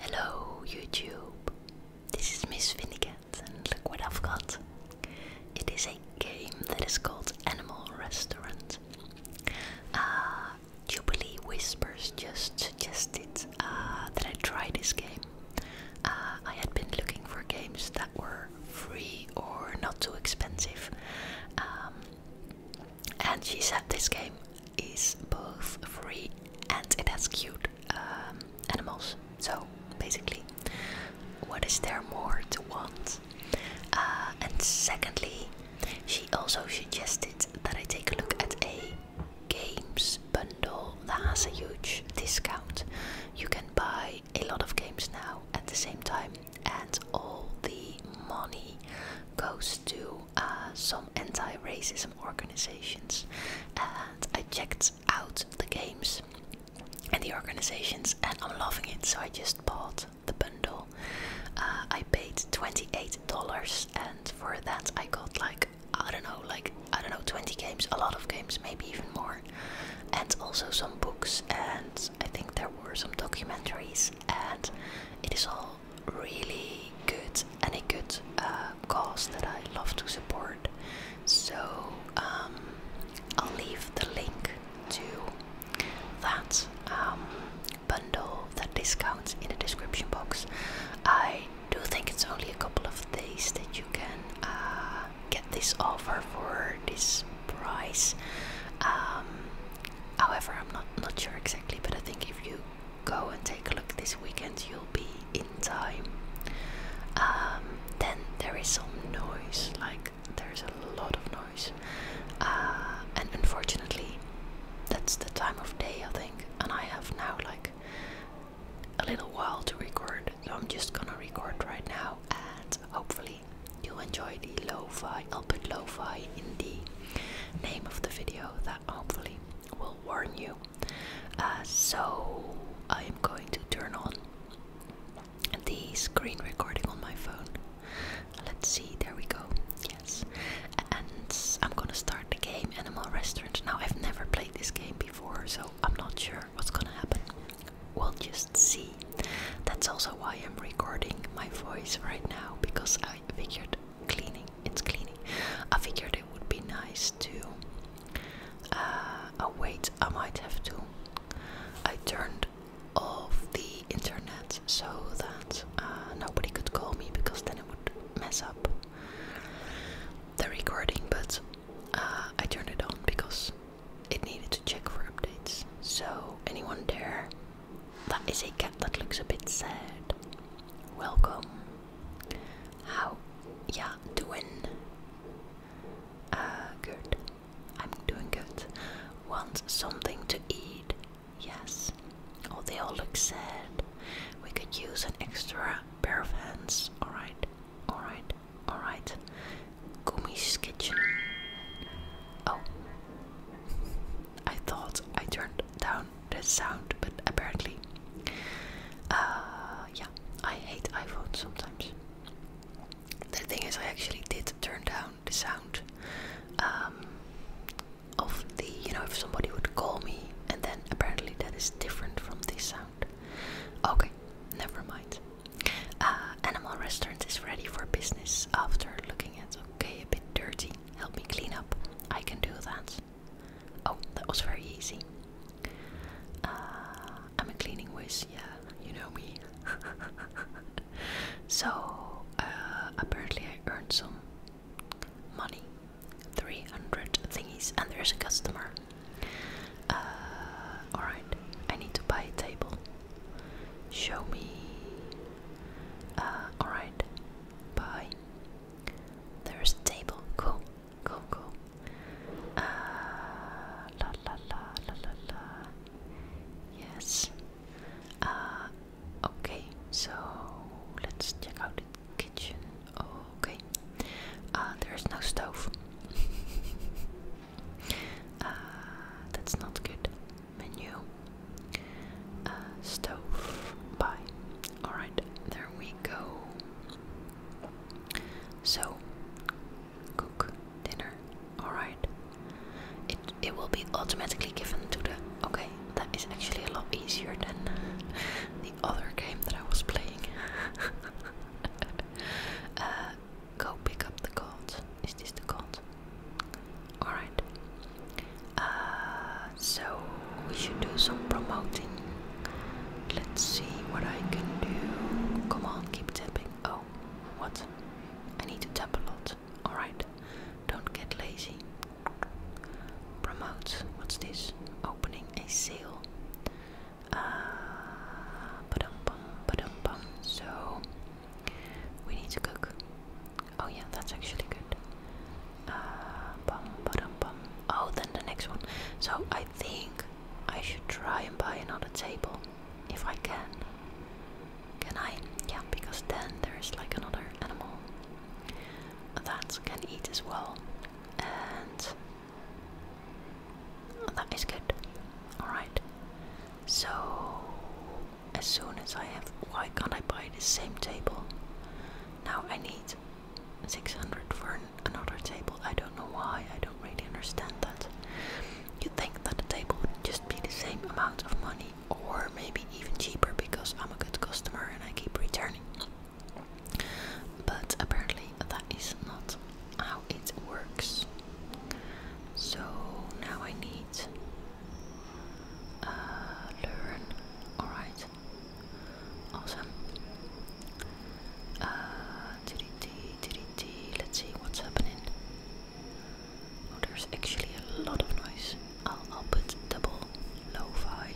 Hello YouTube, this is Miss Vindicat and look what I've got. It is a game that is called Animal Restaurant. Uh, Jubilee Whispers just suggested uh, that I try this game. Uh, I had been looking for games that were free or not too expensive. Um, and she said this game is both free and it has cute um, animals. So basically, what is there more to want? Uh, and secondly, she also suggested that I take a look at a games bundle that has a huge discount. You can buy a lot of games now at the same time, and all the money goes to uh, some anti-racism organizations, and I checked out the games and the organizations, and I'm loving it. So I just bought the bundle. Uh, I paid twenty-eight dollars, and for that I got like I don't know, like I don't know, twenty games, a lot of games, maybe even more, and also some books, and I think there were some documentaries, and it is all really good and a good uh, cause that I love to support. So um, I'll leave the link to that um, bundle, that discount in the description box. I do think it's only a couple of days that you can uh, get this offer for this price. Um, however, I'm not not sure exactly, but I think if you go and take a look this weekend, you'll be in time. Um, then there is some noise, like there's a lot of noise, uh, and unfortunately, that's the time of day I think. And I have now like a little while to record, so I'm just gonna record right now, and hopefully, you'll enjoy the lo-fi. I'll put lo-fi in the name of the video that hopefully will warn you. Uh, so I am going to turn on the screen recording on my phone. Let's see, there we go. Yes. And I'm gonna start the game Animal Restaurant. Now I've never played this game before, so I'm not sure what's gonna happen. We'll just see. That's also why I'm recording my voice right now because I figured cleaning it's cleaning. I figured it would be nice to. Uh, wait, I might have to. I turned off the internet so that uh, nobody could call me because then it would mess up the recording. But uh, I turned it on because it needed to check for updates. So anyone there that is a cat that looks a bit sad. Welcome. How yeah, doing? Uh good. I'm doing good. Want something to eat? Yes. Oh they all look sad. We could use an extra pair of hands. Alright. Alright. Alright. Gumi's kitchen. Oh. I thought I turned down sound sound but apparently uh, yeah I hate iPhones sometimes the thing is I actually did turn down the sound um, of the you know if somebody would call me and then apparently that is different from this sound okay never mind uh, Animal Restaurant is ready for business after looking at okay a bit dirty help me clean up. I can do that. Oh, that was very easy. Uh, I'm a cleaning whiz, yeah, you know me. so, uh, apparently, I earned some money 300 thingies, and there's a customer. Uh, Alright, I need to buy a table. Show me. Uh, Alright, Bye. There's a table. Go, go, go. Uh, la la la la la la. Yes. Uh, okay, so let's check out the kitchen. Okay. Uh, there's no stove. uh, that's not good menu. Uh, stove. Buy. Alright, there we go. So, cook dinner. Alright. It, it will be automatically given to the. Okay, that is actually a lot easier than the other game that I was playing. Uh, go pick up the gold. Is this the gold? Alright. Uh, so we should do some promoting. Let's see what I can do. Come on, keep tapping. Oh, what? I need to tap a lot. Alright. Don't get lazy. Promote. What's this? Opening a seal. Uh, ba -dum -bum, ba So we need to cook. Oh yeah, that's actually good. Uh, bum, ba Oh, then the next one. So I think I should try and buy another table if I can. Can I? Yeah, because then there's like another animal that can eat as well, and that is good. All right. So as soon as I have. Why can't I buy the same table? Now I need 600 for another table. I don't know why. I don't really understand that. you think that the table would just be the same amount of money, or maybe even cheaper because I'm a good customer and I keep returning. But apparently, that is not how it works. So now I need uh, learn. Alright. Awesome. Uh, DDT, DDT. Let's see what's happening. Oh, there's actually a lot of noise. I'll, I'll put double lo-fi.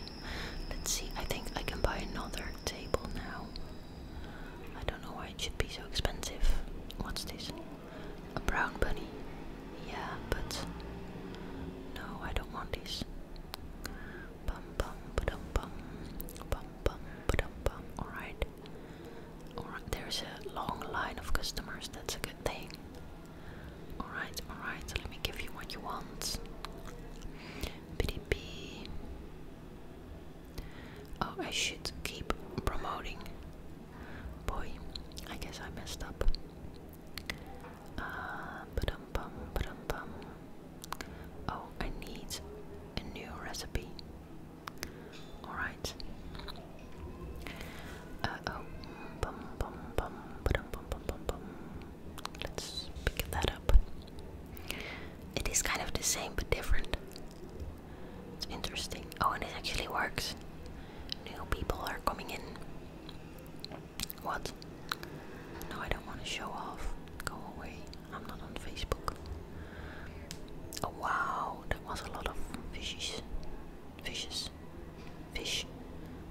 Let's see. I think I can buy another table now. I don't know why it should be so expensive. What's this? A brown bunny. Yeah, but no, I don't want these. Bum bum ba dum bum. Bum bum ba dum bum. Alright. Alright, there's a long line of customers, that's a good thing. Alright, alright, let me give you what you want. PDP. Oh, I should keep promoting Boy, I guess I messed up. Uh, ba -dum -bum, ba -bum. Oh, I need a new recipe. Alright. Uh oh. Bum, bum, bum, ba -bum, bum, bum, bum. Let's pick that up. It is kind of the same but different. It's interesting. Oh, and it actually works new people are coming in. What? No, I don't want to show off. Go away. I'm not on Facebook. Oh wow, there was a lot of fishes. Fishes. Fish.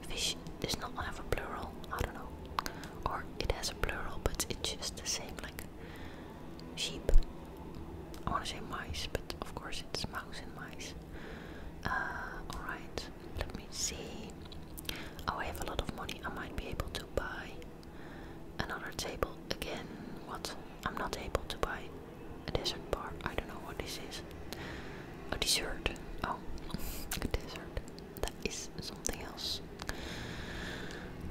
Fish Is not have a plural. I don't know. Or it has a plural, but it's just the same like sheep. I want to say mice, but of course it's mouse and mice. Uh, alright, let me see. Oh, I have a lot of money. I might be able to buy another table again. What? I'm not able to buy a dessert bar. I don't know what this is. A dessert. Oh, a dessert. That is something else.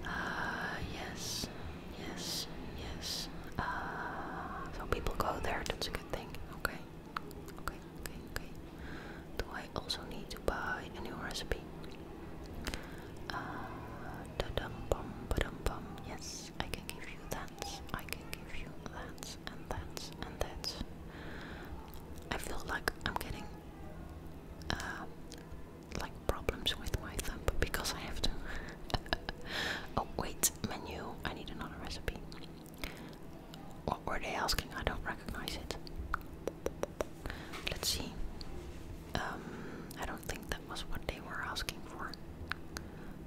Uh, yes, yes, yes. Uh, so people go there, that's good. Okay, okay, okay, okay. Do I also need to buy a new recipe? Uh, dum bum, ba bum. Yes, I can give you that. I can give you that and that and that. I feel like I'm getting uh, like problems with my thumb because I have to. oh wait, menu. I need another recipe. What were they asking? I don't recognize it. Let's see. Um, I don't think that was what they were asking for.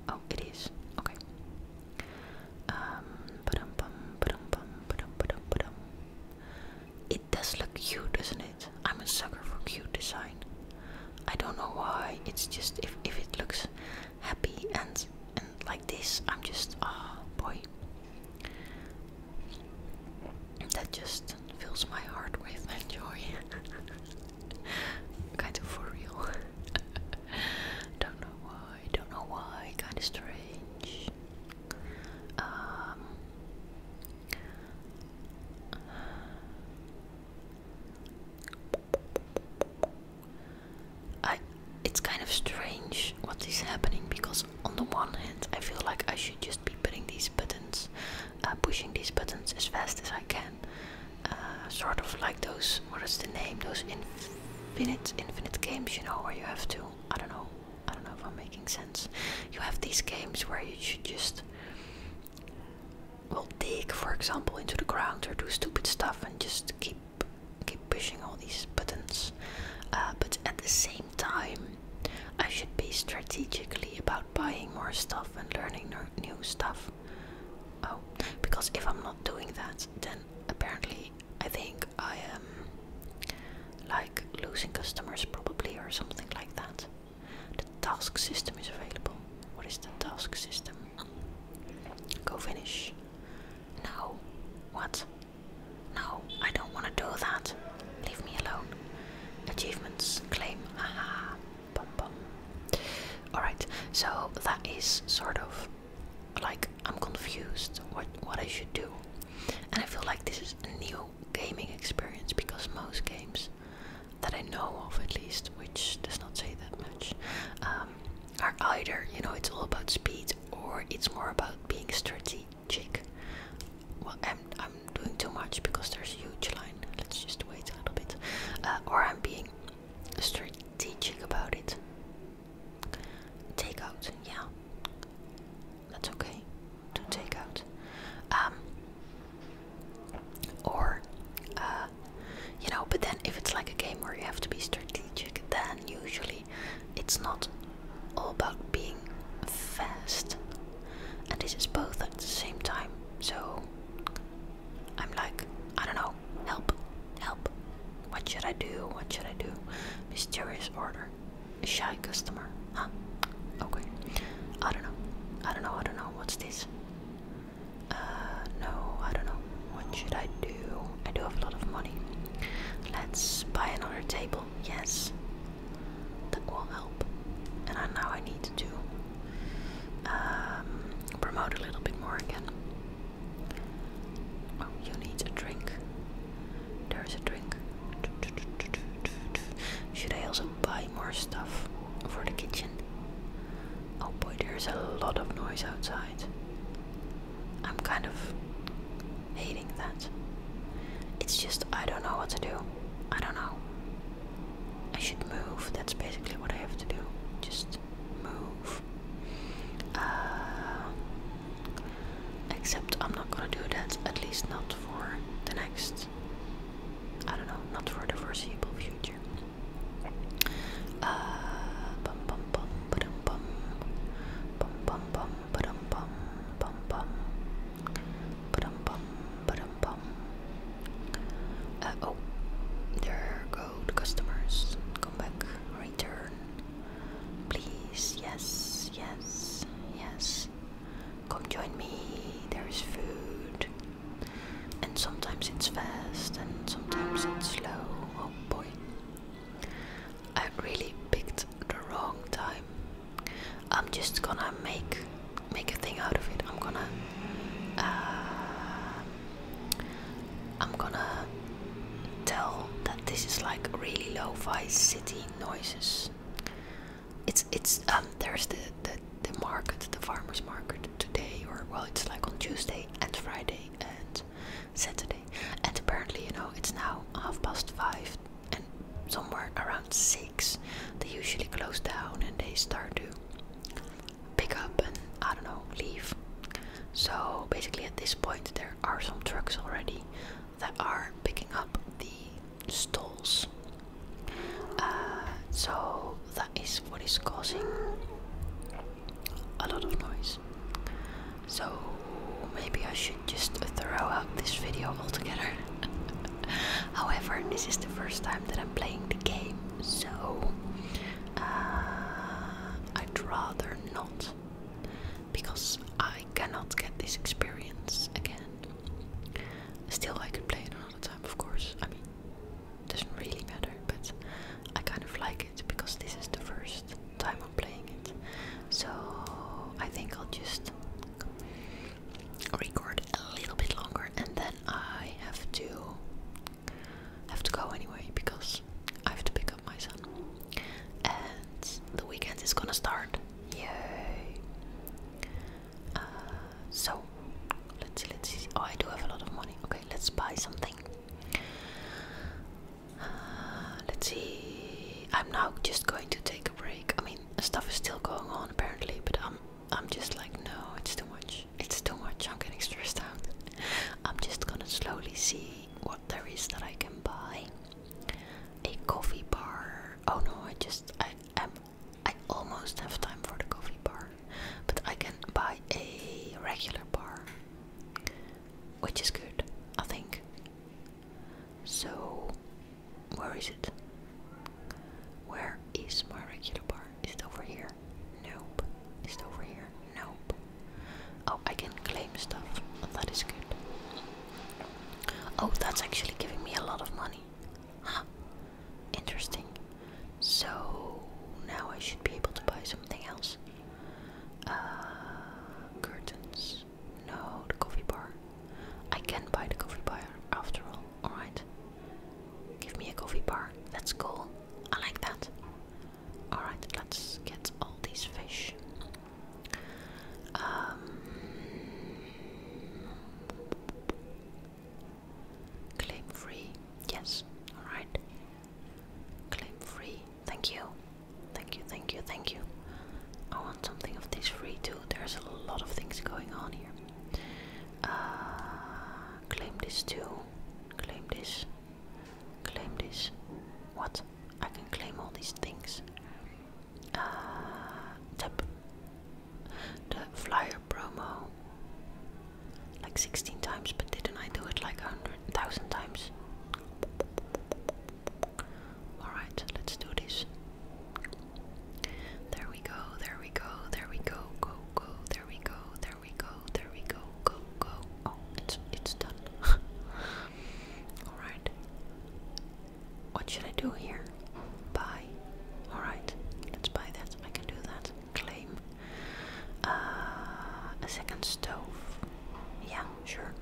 Oh, it is. Okay. Um, It does look cute, doesn't it? I'm a sucker for cute design. I don't know why. It's just if if it looks happy and and like this I'm just ah oh boy that just fills my heart with joy kind of for real don't know why don't know why kind of strange um, it's kind of strange what is happening because on the one hand I feel like I should just be uh, pushing these buttons as fast as I can uh, sort of like those what is the name those infinite infinite games you know where you have to I don't know I don't know if I'm making sense you have these games where you should just will dig, for example, into the ground or do stupid stuff and just keep keep pushing all these buttons. Uh, but at the same time, I should be strategically about buying more stuff and learning new stuff. Oh, because if I'm not doing that, then apparently I think I am like losing customers probably or something like that. The task system is available. What is the task system? Go finish. No. What? No, I don't want to do that. Leave me alone. Achievements claim. Haha. Bum bum. Alright, so that is sort of like I'm confused what what I should do. And I feel like this is a new gaming experience because most games that I know of at least, which does not say that much, um, are either you know it's all about speed or it's more about being strategic. Well, I'm I'm doing too much because there's a huge line. Let's just wait a little bit, uh, or I'm being strategic about it. Take out, yeah, that's okay to take out. Um, or, uh, you know, but then if it's like a game where you have to be strategic, then usually it's not all about being fast. And this is both at the same time, so I'm like, I don't know, help, help. What should I do? What should I do? Mysterious order. shy customer. Huh? Okay. I don't know. I don't know. I don't know. What's this? Uh, no, I don't know. What should I do? I do have a lot of money. Let's buy another table. Yes, that will help. And I, know I need to um, promote a little bit more again. Oh, you need a drink. There's a drink. Should I also buy more stuff? for the kitchen. Oh boy, there's a lot of noise outside. I'm kind of hating that. It's just I don't know what to do. I don't know. I should move. That's basically what I have to do. Just move. Uh, except I'm not gonna do that. At least not for the next. I don't know. Not for the foreseeable future. Uh, bum bum bum ba-dum bum bum bum bum ba-dum bum bum bum ba-dum oh, there go the customers. Come back, return, please. Yes, yes, yes. Come join me. There is food. And sometimes it's fast and sometimes it's slow. Oh boy. I really picked the wrong time. I'm just gonna make make a thing out of it. I'm gonna uh, I'm gonna tell that this is like really lo-fi city noises. It's it's um there's the the the market, the farmers market today, or well, it's like on Tuesday and Friday and Saturday. And apparently, you know, it's now half past five and somewhere around six. They usually close down and they start to pick up and I don't know leave. So basically, at this point, there are some trucks already that are picking up the stalls uh, so that is what is causing a lot of noise. So maybe I should just throw out this video altogether. However, this is the first time that I'm playing the game, so uh, I'd rather not because I cannot get this experience again. Still, I could play it another time, of course. I mean, doesn't really matter, but I kind of like it because this is the first time I'm playing it. So I think I'll just record a little bit longer and then I have to have to go anyway because I have to pick up my son. And the weekend is gonna start. Yay! Uh, so let's see, let's see. Oh, I do have a lot of money. Okay, let's buy something. Uh, let's see. I'm now just going to take a break. I mean, stuff is still going on apparently, but I'm I'm just like, no, it's too much. It's too much. I'm getting stressed out. I'm just gonna slowly see what there is that I can buy. A coffee bar. Oh no, I just I am I almost have time for the coffee bar, but I can buy a regular bar, which is good, I think. So, where is it? Where is my regular bar? Is it over here? Nope. Is it over here? Nope. Oh, I can claim stuff. That is good. Oh, that's actually giving me a lot of money. Huh. Interesting. So now I should be able to buy something else. Uh, curtains. No, the coffee bar. I can buy the coffee bar after all. Alright. Give me a coffee bar. That's cool. I like that. Alright, let's get all these fish. Um, Claim free. Yes. Alright. Claim free. Thank you. Thank you, thank you, thank you. I want something of this free too. There's a lot of things going on here. Uh, claim this too. Claim this. Claim this. What? I can claim all these things. Uh, tap the flyer promo like 16 times, but didn't I do it like 100,000 times? Alright, let's do this. There we go, there we go, there we go, go, go, there we go, there we go, there we go, go, go. Oh, it's, it's done. Alright. What should I do here? Buy. Alright, let's buy that. I can do that. Claim. Uh, a second stove. Yeah, sure.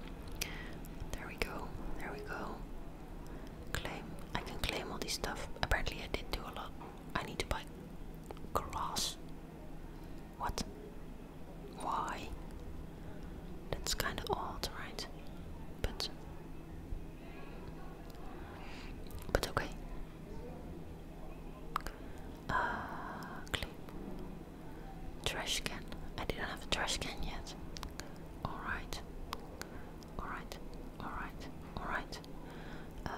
There we go. There we go. Claim. I can claim all this stuff. Apparently, I did do a lot. I need to buy grass. What? Why? That's kind of odd, right? But but okay. Uh, clip. Trash can. I didn't have a trash can yet. Alright. Alright. Alright. Alright. Uh,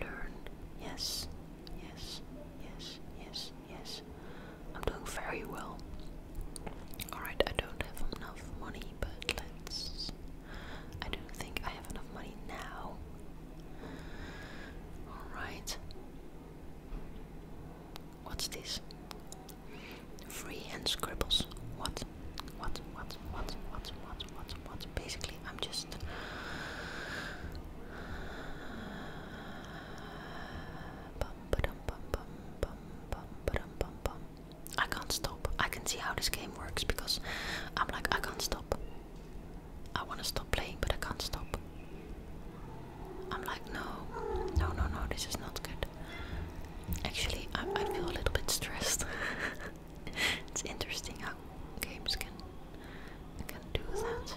learn. Yes. Yes. Yes. Yes. Yes. I'm doing very well. Alright, I don't have enough money, but let's I don't think I have enough money now. Alright. What's this? Freehand scribbles. What? What? What? What? What? What? What? What? Basically, I'm just. I can't stop. I can see how this game works because I'm like, I can't stop. I want to stop playing, but I can't stop. I'm like, no, no, no, no, this is not good. Actually, I, feel a little bit stressed. it's interesting how games can can do that.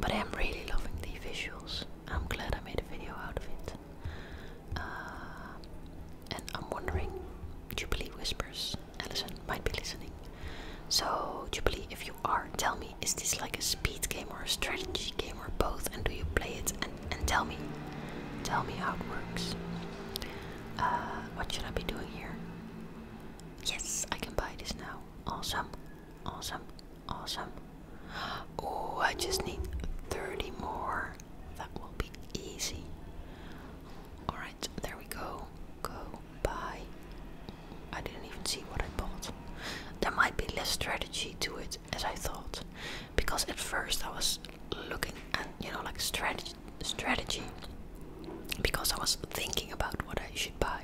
But I am really loving the visuals. I'm glad I made a video out of it. Uh, and I'm wondering, Jubilee whispers. Allison might be listening. So, Jubilee, if you are, tell me, is this like a speed game or a strategy game or both? And do you play it? And, and tell me, tell me how it works. Uh, what should I be doing here? Yes, I can buy this now. Awesome, awesome, awesome. Oh, I just need 30 more. That will be easy. Alright, there we go. Go buy. I didn't even see what I bought. There might be less strategy to it as I thought. Because at first I was looking at, you know, like strategy. strategy because I was thinking about what I should buy,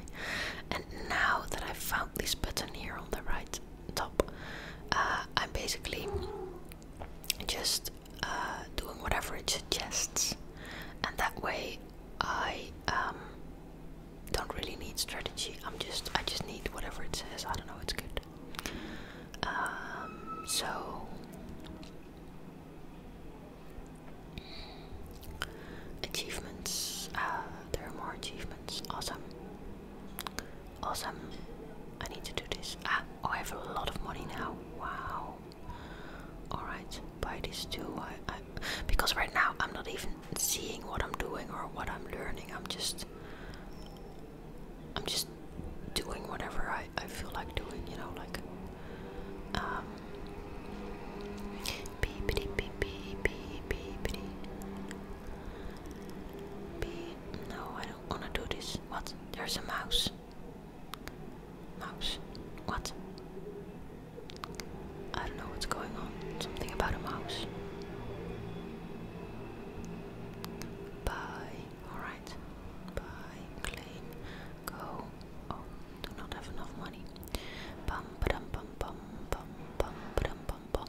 and now that I found this button here on the right top, uh, I'm basically just uh, doing whatever it suggests, and that way I um, don't really need strategy. I'm just I just need whatever it says. I don't know. It's good. Um, so achievements. Uh, there are more achievements. Awesome. Awesome. I need to do this. Ah, oh, I have a lot of money now. Wow. Alright, buy this too. I, I, because right now I'm not even seeing what I'm doing or what I'm learning. I'm just. I'm just doing whatever I, I feel like doing, you know, like. Um. Beep, beep, beep, beep, No, I don't to do this. What? There's a mouse. Mouse. What? I don't know what's going on. Something about a mouse. Bye. Alright. Bye. Claim. Go. Oh, do not have enough money. Bum ba-dum bum bum bum bum ba-dum bum bum.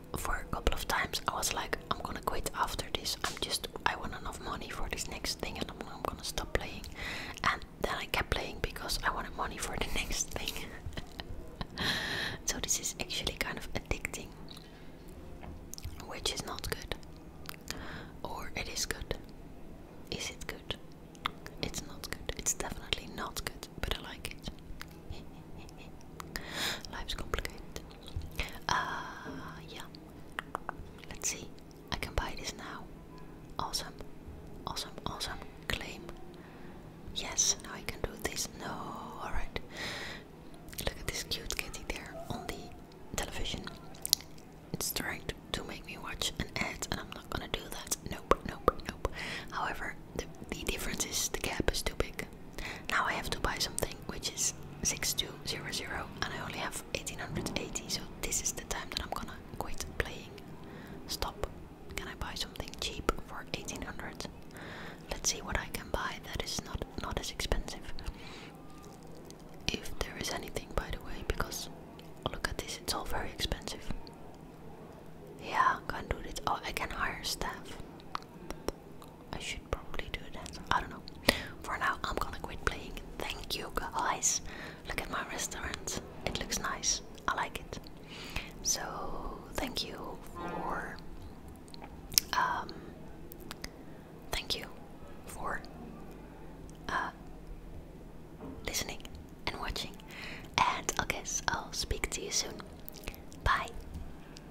for a couple of times I was like, I'm gonna quit after this. I'm just, I want enough money for this next thing and I'm, gonna stop playing. And then I kept playing because I wanted money for the next thing. so this is actually kind of addicting, which is not good. Or it is good. Is it good? It's not good. It's definitely not good, but I like it. Life's complicated. Uh, yeah. Let's see. I can buy this now. Awesome. Awesome. Awesome. Claim. Yes, now I can do this. No, alright. Look at this cute kitty there on the television. It's trying to, to make me watch an ad, and I'm not gonna do that. Nope, nope, nope. However, the, the difference is the gap is too big. Now I have to buy something which is 6200 and I only have 1880, so this is the time that I'm gonna quit playing. Stop. Can I buy something cheap for 1800? Let's see what I can buy that is not not as expensive. If there is anything by the way, because look at this, it's all very expensive. Yeah, can do this. Oh, I can hire staff. I should probably do that. I don't know. For now, I'm gonna quit playing. Thank you, guys. Look at my restaurant. It looks nice. I like it. So, thank you for. Um, thank you for uh, listening and watching. And I guess I'll speak to you soon. Bye.